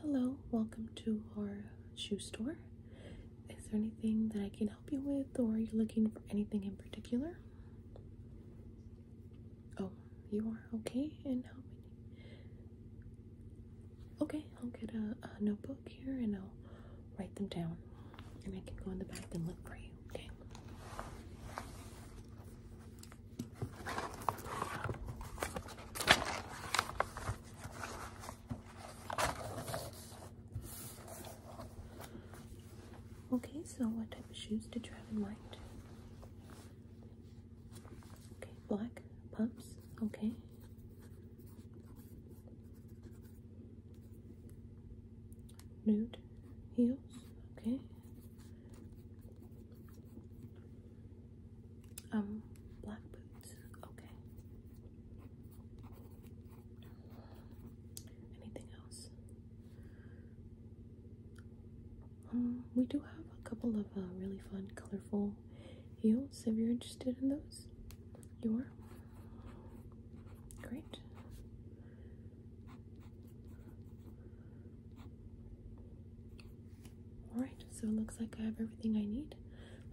Hello, welcome to our shoe store. Is there anything that I can help you with, or are you looking for anything in particular? Oh, you are okay. And how Okay, I'll get a notebook here and I'll write them down, and I can go in the back and look for you. Okay. Okay, so what type of shoes did you have in mind? Okay, black pumps. Okay. Nude heels. Okay. Um, black boots. Okay. Anything else? Um, we do have a couple of uh, really fun, colorful heels if you're interested in those. You are? Great. All right, so it looks like I have everything I need.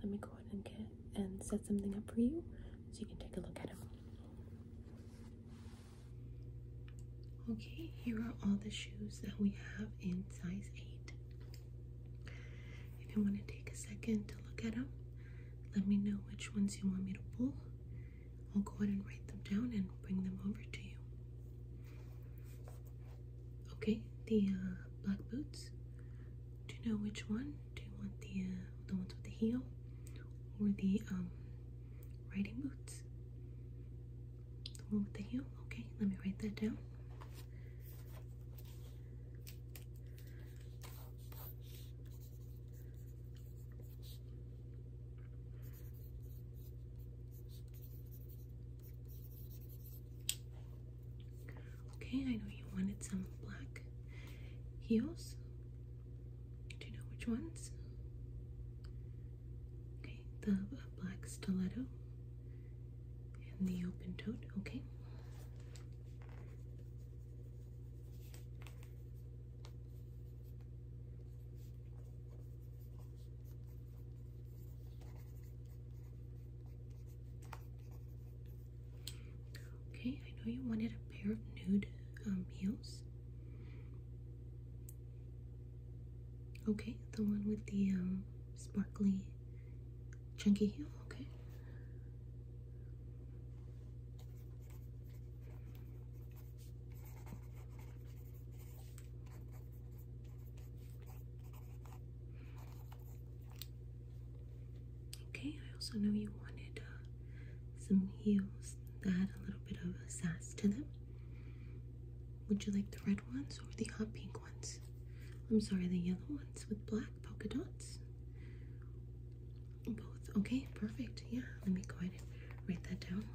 Let me go ahead and get and set something up for you so you can take a look at them. Okay, here are all the shoes that we have in size 8. If you want to take a second to look at them, let me know which ones you want me to pull. I'll go ahead and write them down and bring them over to you. Okay, the uh, black boots. Do you know which one? Do you want the uh, the ones with the heel or the um, riding boots? The one with the heel. Okay, let me write that down. Okay, I know you wanted some black heels. Do you know which ones? Okay, the black stiletto and the open toed. Okay. Okay, I know you wanted a pair of nude um, heels. Okay, the one with the um, sparkly, chunky heel. Okay. Okay, I also know you wanted uh, some heels that had a little bit of a sass to them. Would you like the red ones or the hot pink ones? I'm sorry, the yellow ones with black polka dots. Both. Okay, perfect. Yeah, let me go ahead and write that down.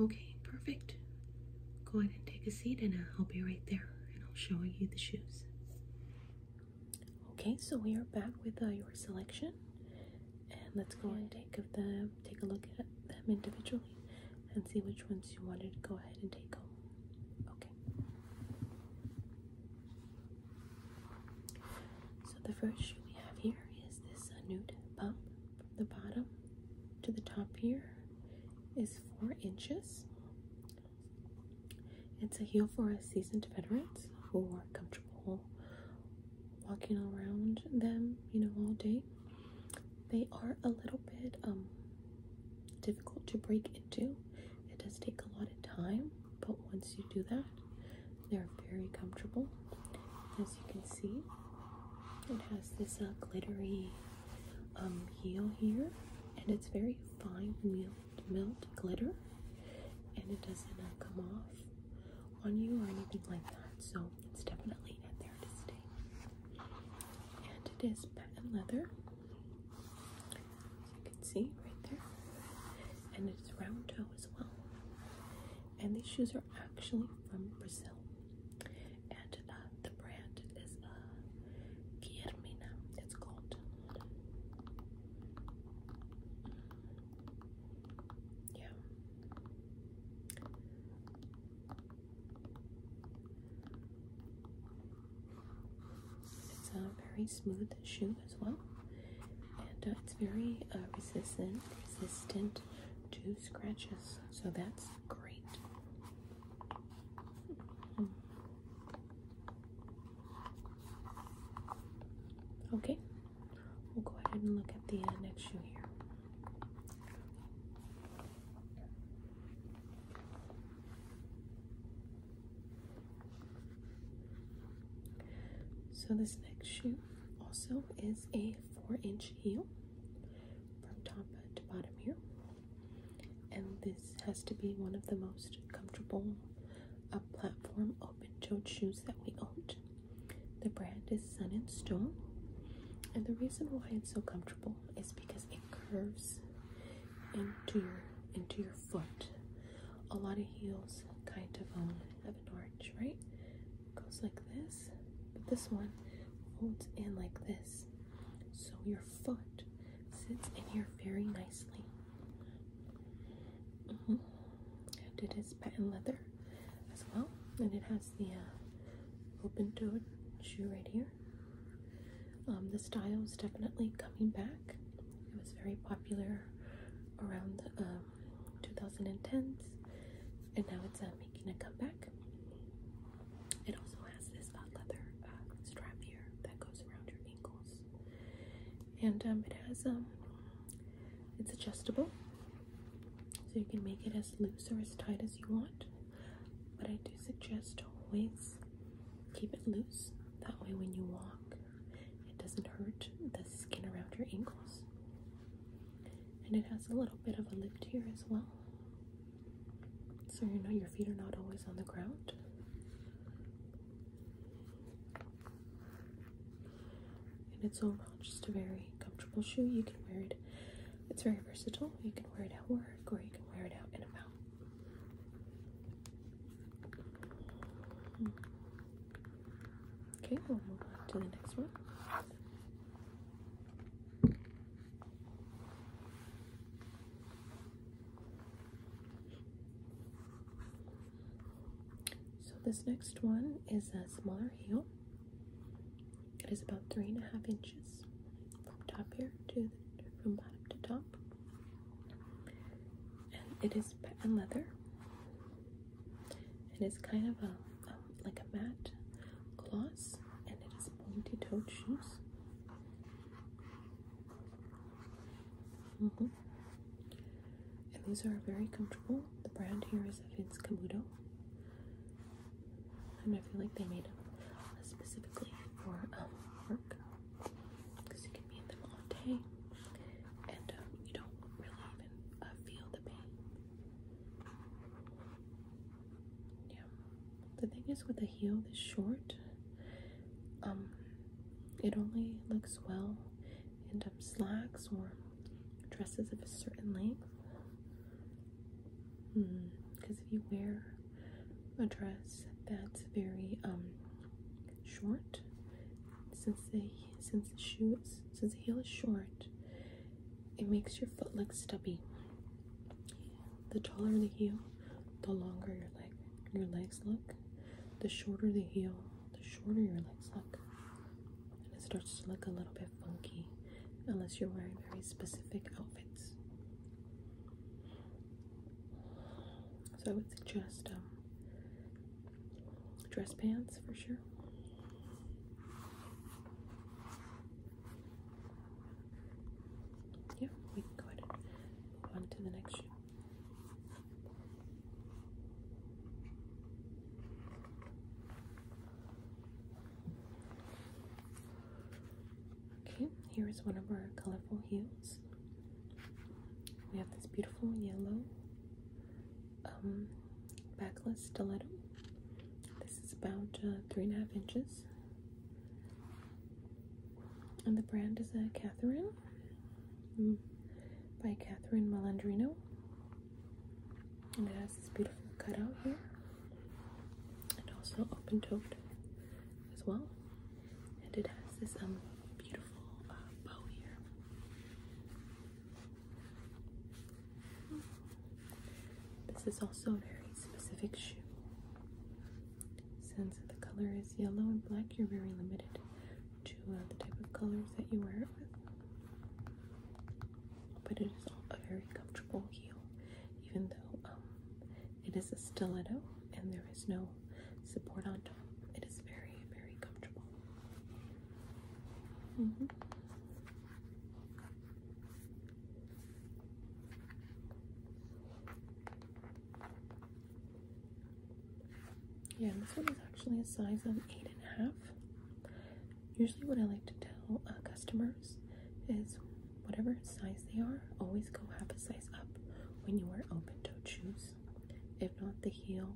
Okay, perfect. Go ahead and take a seat, and I'll be right there and I'll show you the shoes. Okay, so we are back with uh, your selection and let's go and take of them take a look at them individually and see which ones you wanted to go ahead and take home okay so the first shoe we have here is this nude bump from the bottom to the top here is four inches it's a heel for a seasoned veterans who are comfortable walking around them, you know, all day, they are a little bit um difficult to break into. It does take a lot of time, but once you do that, they're very comfortable. As you can see, it has this uh, glittery um, heel here, and it's very fine melt milled glitter and it doesn't come off on you or anything like that. So it's definitely there to stay. And it is patent leather, as you can see right there. And it's round toe as well. And these shoes are actually from Brazil. And uh, the brand is uh, it's called. Yeah. It's a very smooth shoe as well, and uh, it's very uh, resistant, resistant to scratches. So that's great. Hmm. Okay, we'll go ahead and look at the uh, next shoe here. So this next shoe also is a four inch heel from top to bottom here. And this has to be one of the most comfortable a platform open toed shoes that we owned. The brand is Sun and Stone, and the reason why it's so comfortable is because it curves into your into your foot. A lot of heels kind of um, have an arch, right? Goes like this, but this one folds in like this, so your foot sits in here very nicely. Mm-hmm. And it is patent leather as well, and it has the uh, open toe shoe right here. Um, the style is definitely coming back. It was very popular around 2010s, um, and now it's uh, making a comeback. It also has this patent uh, leather strap here that goes around your ankles, and um, it has um, it's adjustable, so you can make it as loose or as tight as you want. But I do suggest always keep it loose. That way, when you walk, it doesn't hurt the skin around your ankles. And it has a little bit of a lift here as well, so you know your feet are not always on the ground. And it's overall just a very comfortable shoe. You can wear it, it's very versatile. You can wear it at work or you can wear it out and about. Okay, we'll move on to the next one. So this next one is a smaller heel. It is about three and a half inches from top here to from bottom to top, and it is patent leather. and It is kind of a um, like a matte gloss, and it is pointy-toed shoes. Mm-hmm. And these are very comfortable. The brand here is Vince Camuto. And I feel like they made them specifically for um, work because you can be in them all day and um, you don't really even uh, feel the pain. Yeah. The thing is with the heel, this short, um, it only looks well in um, slacks or dresses of a certain length. Because hmm, if you wear a dress that's very um, short, since the since the shoe since the heel is short, it makes your foot look stubby. The taller the heel, the longer your leg your legs look the shorter the heel, the shorter your legs look. And it starts to look a little bit funky unless you're wearing very specific outfits. So I would suggest um, dress pants for sure. Yeah, we can go ahead and move on to the next shoe. Okay, here is one of our colorful heels. We have this beautiful yellow um, backless stiletto. This is about uh, three and a half inches and the brand is a uh, Catherine mm. by Catherine Malandrino. And it has this beautiful cutout here, and also open toed as well. And it has this um beautiful uh, bow here. This is also a very specific shoe. Since the color is yellow and black, you're very limited to uh, the type of colors that you wear it with. But it is a very comfortable heel, even though um, it is a stiletto and there is no support on top. It is very, very comfortable. Mm-hmm. Yeah, this one is actually a size of eight and a half. Usually, what I like to tell uh, customers is whatever size they are, always go half a size up when you wear open toed shoes. If not, the heel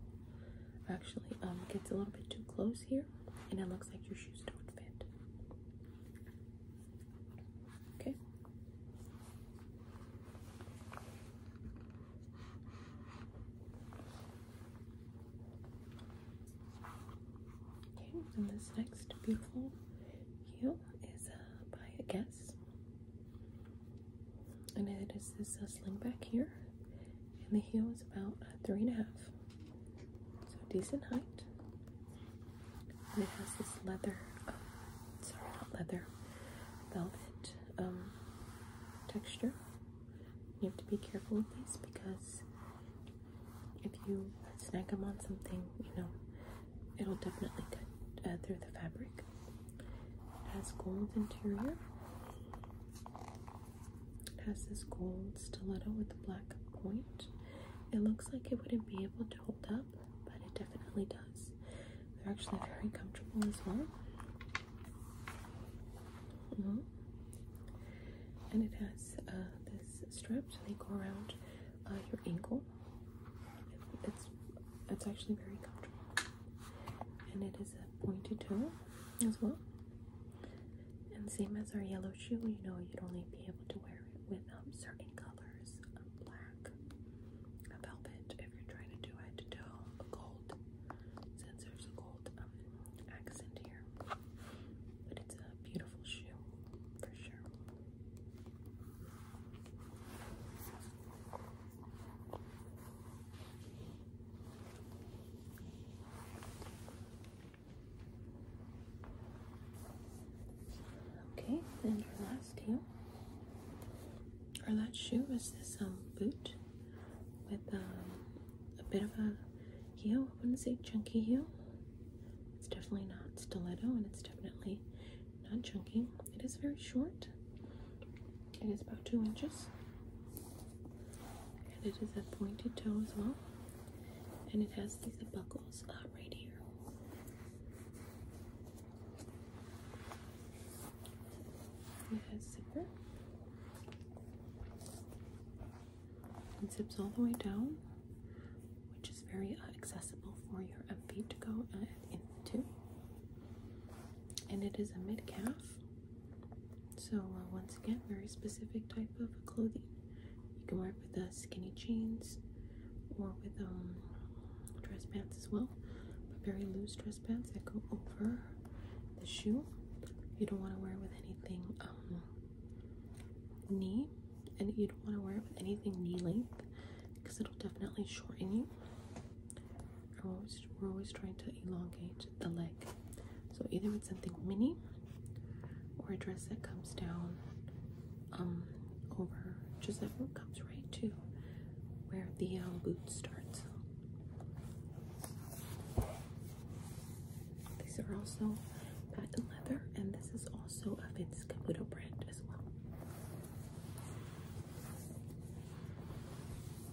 actually um, gets a little bit too close here and it looks like your shoes don't fit. Okay. Okay, and this next beautiful heel is uh, by a guess, and it is this uh, sling back here, and the heel is about uh, three and a half, so decent height. And it has this leather, oh, sorry, not leather, velvet um, texture. You have to be careful with these because if you snag them on something, you know, it'll definitely cut uh, through the fabric. It has gold interior. It has this gold stiletto with a black point. It looks like it wouldn't be able to hold up, but it definitely does. They're actually very comfortable as well. Uh-huh. And it has uh, this strap, so they go around uh, your ankle. It's it's actually very comfortable, and it is a pointed toe as well. And same as our yellow shoe, you know, you'd only be able to wear it with um, certain colors colors black, a velvet if you're trying to do it, to gold, since there's a gold um, accent here. But it's a beautiful shoe for sure. Okay, then our last heel, our last shoe is this um boot with um a bit of a heel. I wouldn't say chunky heel. It's definitely not stiletto, and it's definitely not chunky. It is very short. It is about two inches, and it is a pointed toe as well. And it has these buckles uh, right here. It has zipper. It zips all the way down, which is very accessible for your feet to go into. And it is a mid calf, so uh, once again, very specific type of clothing. You can wear it with uh, skinny jeans, or with um, dress pants as well, but very loose dress pants that go over the shoe. You don't want to wear it with anything um, knee, and you don't want to wear it with anything knee length because it'll definitely shorten you. we're always trying to elongate the leg, so either with something mini or a dress that comes down um, over just that oh, root comes right to where the uh, boot starts. These are also patent leather, and this is also a Vince Caputo brand as well.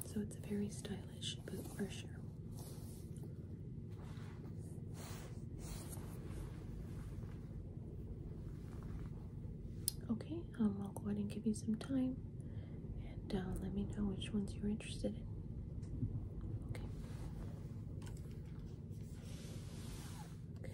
So it's a very stylish boot for sure. Okay, um, I'll go ahead and give you some time and uh, let me know which ones you're interested in. Okay. Okay,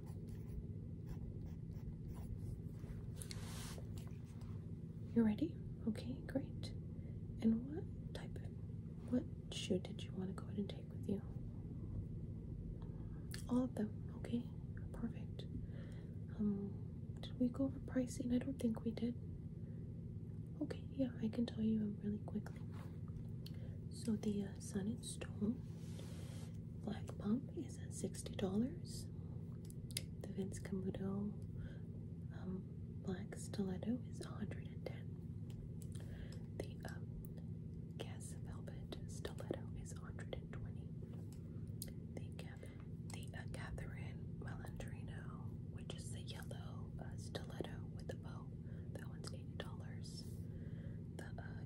you ready? Okay, great. And what type of what shoe did you want to go ahead and take with you? All of them, okay? Perfect. Um did we go over pricing? I don't think we did. Okay, yeah, I can tell you really quickly. So the uh, sun stone. Black Pump is at $60. The Vince Camuto um, Black Stiletto is 110 The um, Guess Velvet Stiletto is 120 The, the uh, Catherine Melandrino, which is the yellow uh, stiletto with the bow, that one's 80 dollars. The uh,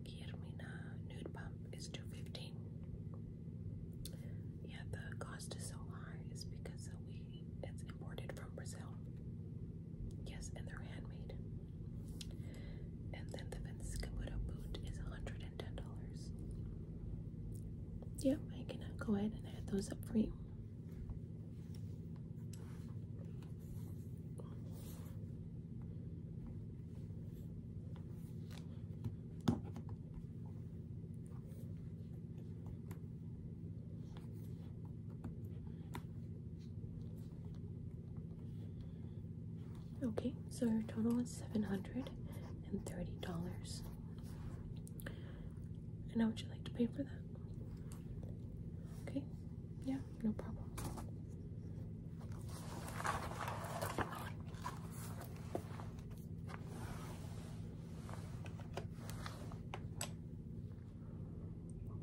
nude pump is two fifteen. Yeah, the cost is so high is because we it's imported from Brazil. Yes, and they're handmade. And then the Venskamuda boot is hundred and ten dollars. Yep, I can go ahead and add those up for you. Okay, so your total is seven hundred and thirty dollars. And how would you like to pay for that? Okay, yeah no problem.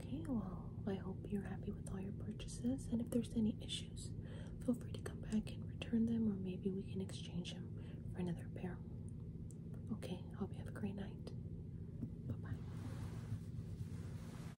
Okay, well, I hope you're happy with all your purchases, and if there's any issues, feel free to come back and return them, or maybe we can exchange them for another pair. Okay, hope you have a great night. Bye bye.